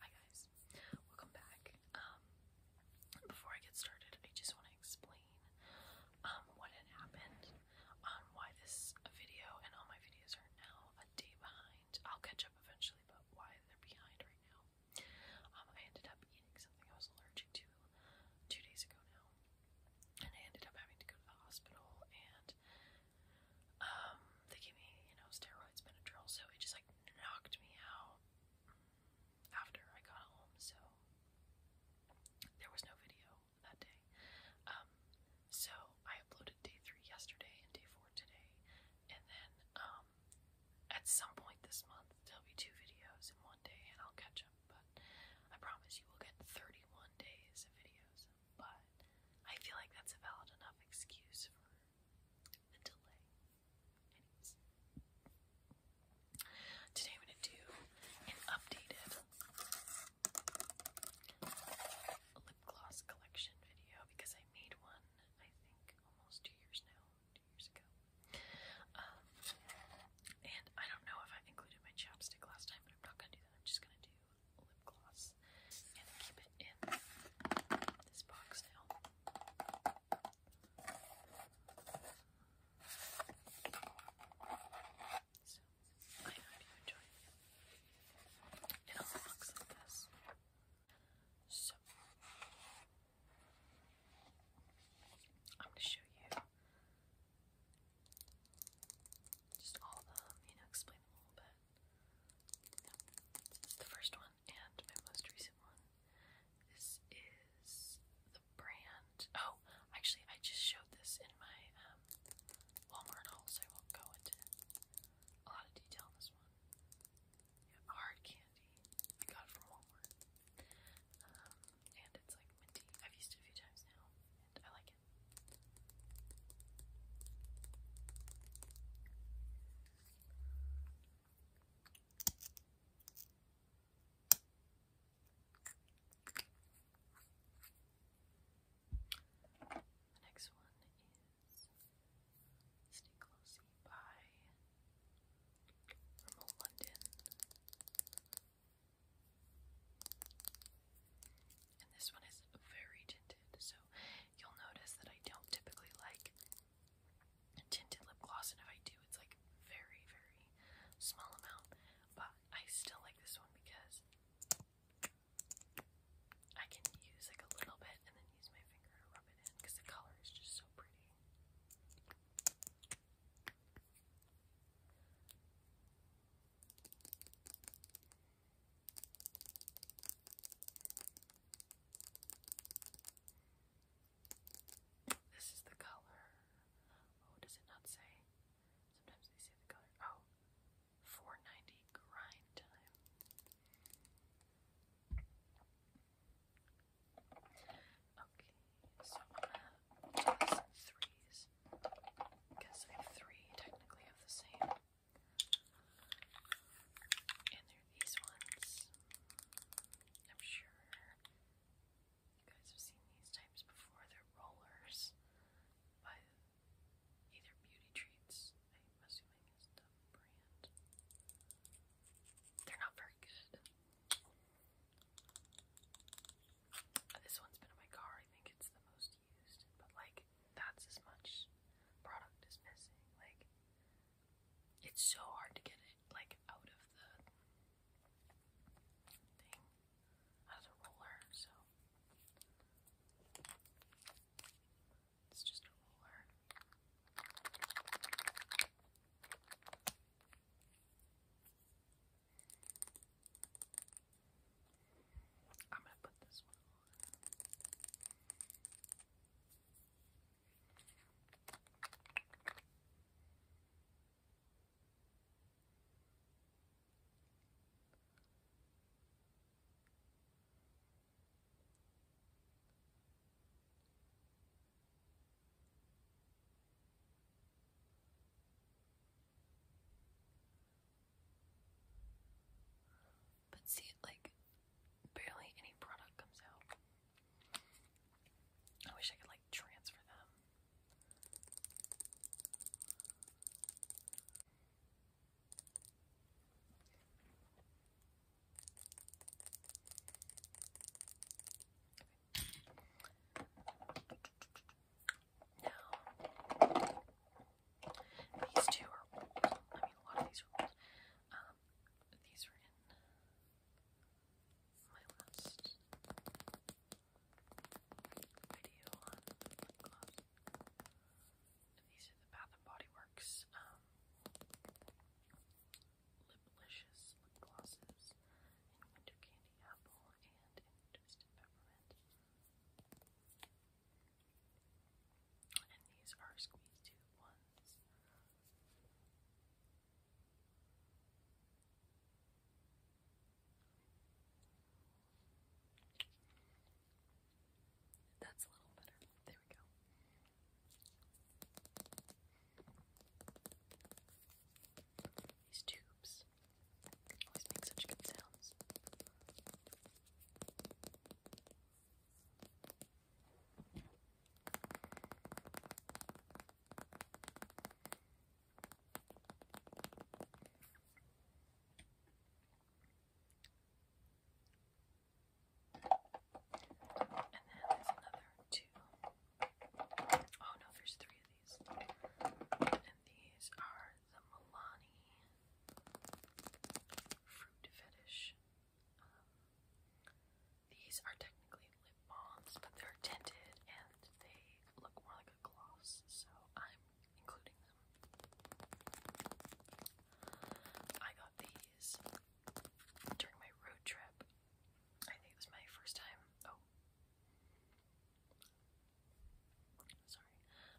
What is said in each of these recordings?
Hi guys, welcome back. Um, before I get started, I just want to explain um, what had happened, on why this video and all my videos are now a day behind. I'll catch up eventually, but why they're behind right now. Um, I ended up eating something I was allergic to two days ago now, and I ended up having to go to the hospital and um, they gave me, you know, steroids, Benadryl, so it just like knocked me out after I got home. So there was no video that day. Um, so I uploaded day three yesterday and day four today, and then um, at some point this month there'll be two videos in one day, and I'll catch up. But I promise you will get 31 days of videos but I feel like that's a valid enough excuse for the delay. Anyways. Today I'm going to do an updated lip gloss collection video because I made one, I think, almost two years now, two years ago. Um, and I don't know if I included my chapstick last time, but I'm not going to do that. I'm just going to do lip gloss and keep it in this box now. So, I hope you enjoy it. It all looks like this. So, I'm going to show you just all of you know, explain a little bit the first one, and my most recent one. This is the brand. Oh, actually, I just showed this in my um, Walmart haul, so I won't go into a lot of detail on this one. hard candy. I got from Walmart. Um, and it's like minty. I've used it a few times now, and I like the next one is Stay Closey by Remote London. And this one is very tinted, so you'll notice that I don't typically like tinted lip gloss, and if I do, it's like very, very small amount. But I still like this one because I can use like a little bit and then use my finger to rub it in because the color is just so pretty. This is the color. Oh, does it not say? Sometimes they say the color. Oh, grind time. Okay, so I'm I three technically of the same. And there are these ones. I'm sure you guys have seen these types before. They're rollers by either Beauty Treats, I'm assuming is the brand. They're not very good. This one's been in my car. I think it's the most used, but like that's as much product as missing. Like it's so hard to get it like out of the thing, out of the roller. So it's just a roller. I'm gonna put this one on. But see, like, barely any product comes out. I wish I could, like, transfer them. Okay. These two are old. I mean, a lot of these are old. Um, these were in my last video lip gloss. These are the Bath and Body Works um, Liplicious lip glosses in Winter Candy Apple and Twisted Peppermint. And these are squeeze tube ones. That's a little better. There we go. These tubes Always make such good sounds. And then there's another two. Oh no, there's three of these. And these are the Milani Fruit Fetish. Um, these are technically lip balms, but they're tinted and they look more like a gloss, so I'm including them. I got these during my road trip. I think it was my first time. Oh. Sorry.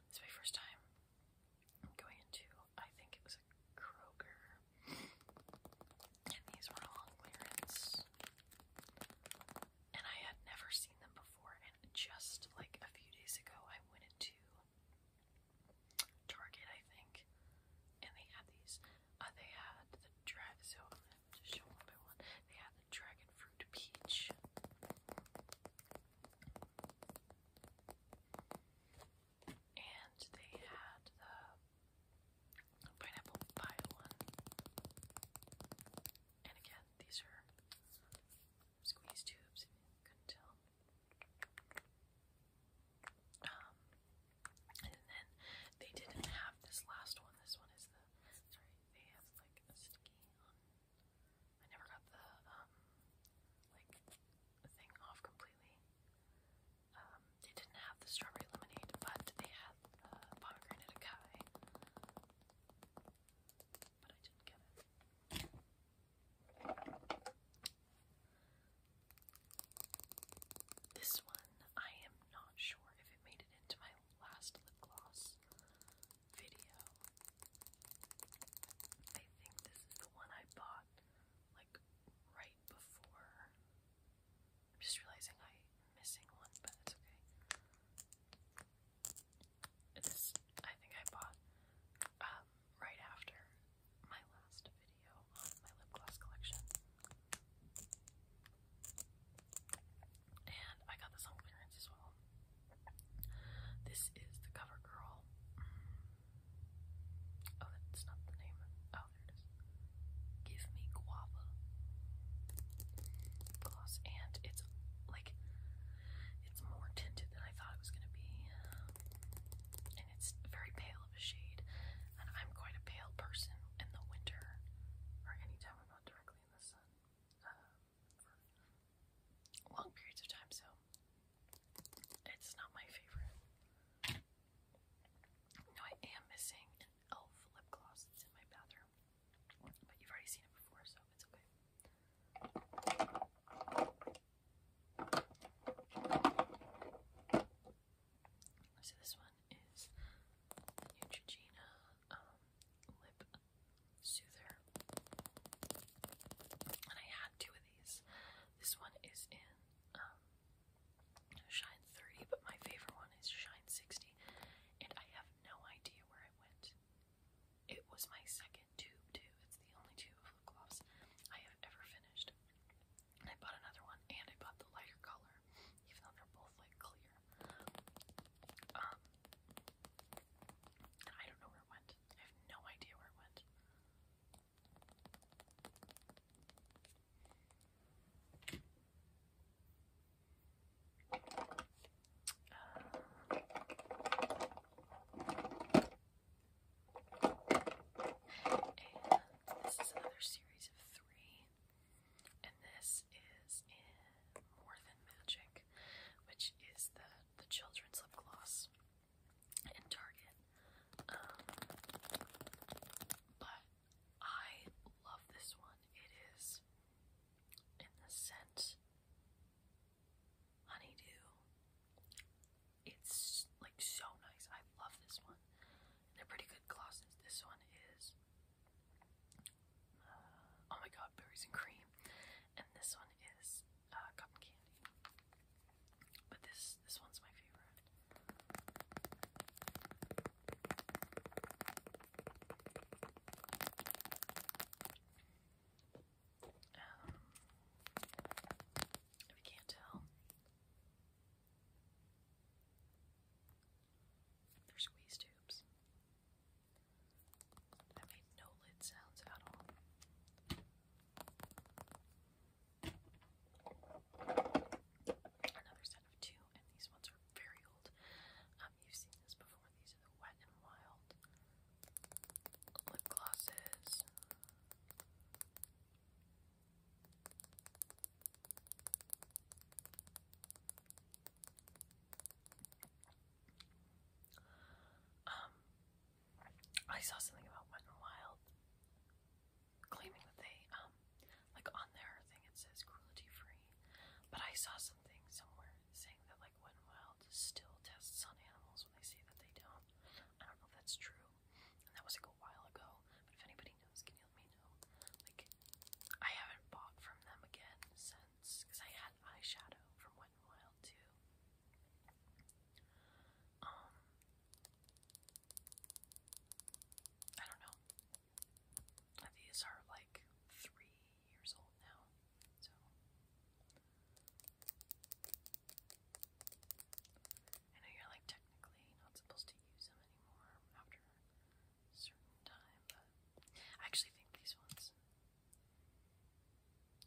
This is my first time going into, I think it was a Kroger. And these were all on clearance. And I had never seen them before. And just like a few days ago, I went into Target, I think. And they had these. Uh, they had the drive, so to show one they had the dragon fruit peach. And they had the pineapple pie one. And again, these are squeeze tubes, couldn't tell. Um, and then they didn't have this last one. This one is the, sorry, they have like sticky I never got the um like thing off completely. Um, they didn't have the strawberry lemonade, but they had the pomegranate acai. But I didn't get it. This one, I am not sure if it made it into my last lip gloss video. I think this is the one I bought like right before. I'm just realizing I'm missing one, but it's okay. This I think I bought um right after my last video on my lip gloss collection. And I got this on clearance as well. This is the CoverGirl. Oh, that's not the name. Oh, there it is. Give Me Guava gloss. And it's like, it's more tinted than I thought it was going to be. And it's very pale of a shade. And I'm quite a pale person in the winter or anytime I'm not directly in the sun. Um, long periods of time, so it's not my favorite. No, I am missing elf lip gloss that's in my bathroom, but you've already seen it before, so it's okay. So this one is Neutrogena um, lip soother. And I had two of these. This one is in um, Shine 30, but my favorite one is Shine 60. And I have no idea where I went. It was my second tube, too. It's the only tube of lip gloss I have ever finished. And I bought another one, and I bought the lighter color, even though they're both like clear. Um, I don't know where it went. I have no idea where it went. Uh, and this is another series of three. And this is in More Than Magic, which is the, the children's lip gloss in Target. Um, but I love this one. It is in the scent Honeydew. It's like so nice. I love this one. And they're pretty good glosses. This one is oh my god, berries and cream. And this one is uh, cotton candy. But this this one's my favorite. Um, if you can't tell, they're squeeze tubes. I made no lid sounds at all. Another set of two, and these ones are very old. Um, you've seen this before. These are the Wet and Wild lip glosses. Um, I saw something about Wet n Wild claiming that they, um, like on their thing it says cruelty free, but I saw something somewhere saying that like Wet n Wild still tests on animals when they say that they don't. I don't know if that's true, and that was like a while ago. But if anybody knows, can you let me know? Like, I haven't bought from them again since because I had eyeshadow from Wet n Wild too. Um, I don't know. These are like three years old now, so. I know you're like technically not supposed to use them anymore after certain time, but I actually think these ones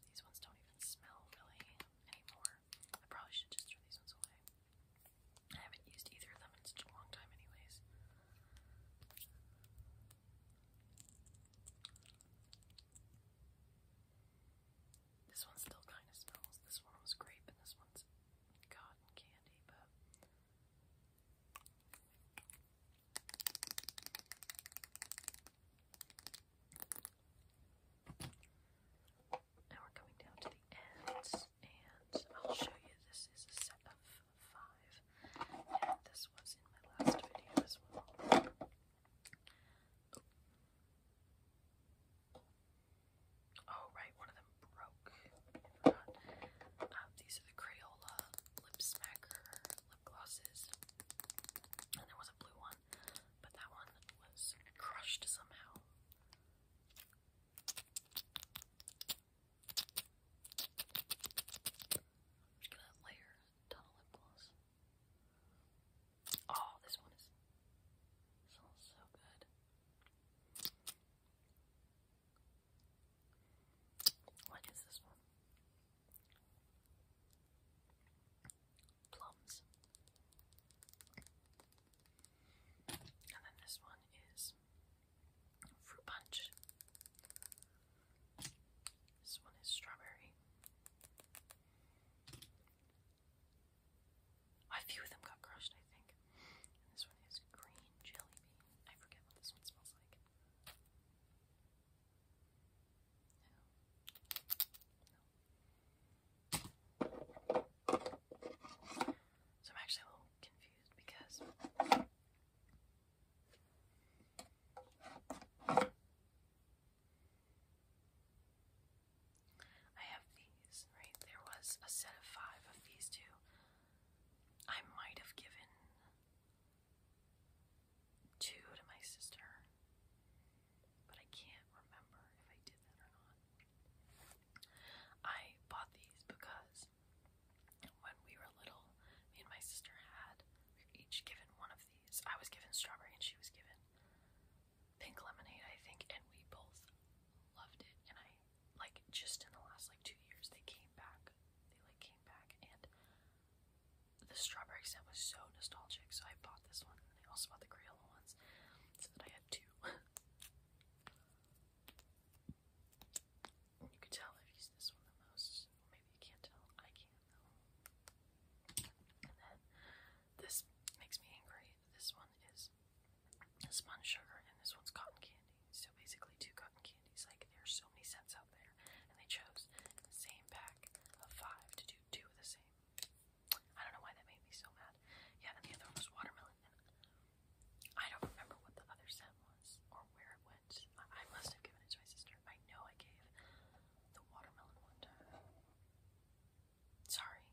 these ones don't even smell really anymore. I probably should just throw these ones away. I haven't used either of them in such a long time anyways. This one still kind of smells. This one was grape and this one's cotton candy, but now we're coming down to the ends, and I'll show you this is a set of five, and this was in my last video as well. Oh, right, one of them broke um, these are the Crayola Lip Smacker lip glosses and there was a blue one but that one was crushed somehow I'm just gonna layer a ton of lip gloss oh this one is smells so good what is this one? Plums. And then this one is fruit punch. This one is strawberry. A few of them got crushed, I think. And this one is green jelly bean. I forget what this one smells like. So I'm actually a little confused because I have these, right? There was a set of five of these two. I might have given two to my sister, but I can't remember if I did that or not. I bought these because when we were little, me and my sister had each given one of these. I was given strawberry and she was given pink lemonade, I think, and we both loved it, and I like just in the last like two years they came back they like came back and the strawberry scent was so nostalgic so I bought this one and I also bought the Crayola ones so that I had two you could tell I've used this one the most well, maybe you can't tell I can though and then this makes me angry this one is sponge sugar, and this one's cotton candy. So basically, two cotton candies. Like there's so many scents out there, and they chose the same pack of five to do two of the same. I don't know why that made me so mad. Yeah, and the other one was watermelon. I don't remember what the other scent was or where it went. I must have given it to my sister. I know I gave the watermelon one Sorry.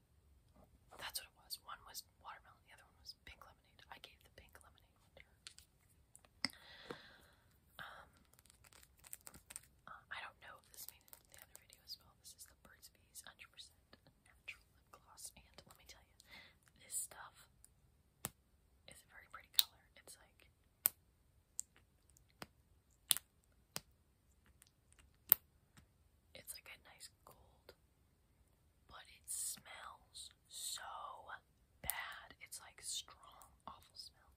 That's what it was. One was watermelon, the other one was pink lemonade. I gave the pink lemonade one Um, uh, I don't know if this made the other video as well. This is the Burt's 100% Natural Lip Gloss, and let me tell you, this stuff is a very pretty color. It's like it's like a nice gold but it smells so bad. It's like strong, awful smell.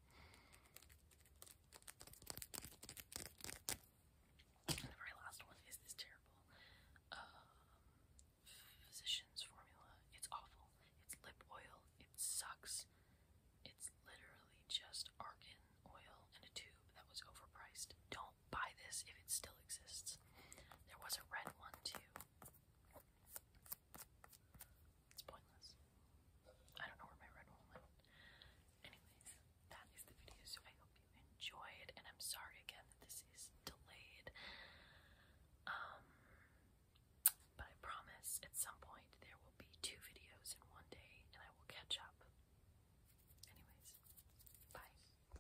And the very last one is this terrible um, physician's formula. It's awful. It's lip oil. It sucks. It's literally just argan oil in a tube that was overpriced. Don't buy this if it still exists. There was a red one too. It's pointless. I don't know where my red one went. Anyways, that is the video, so I hope you enjoyed, and I'm sorry again that this is delayed. Um, but I promise at some point there will be two videos in one day, and I will catch up. Anyways, bye.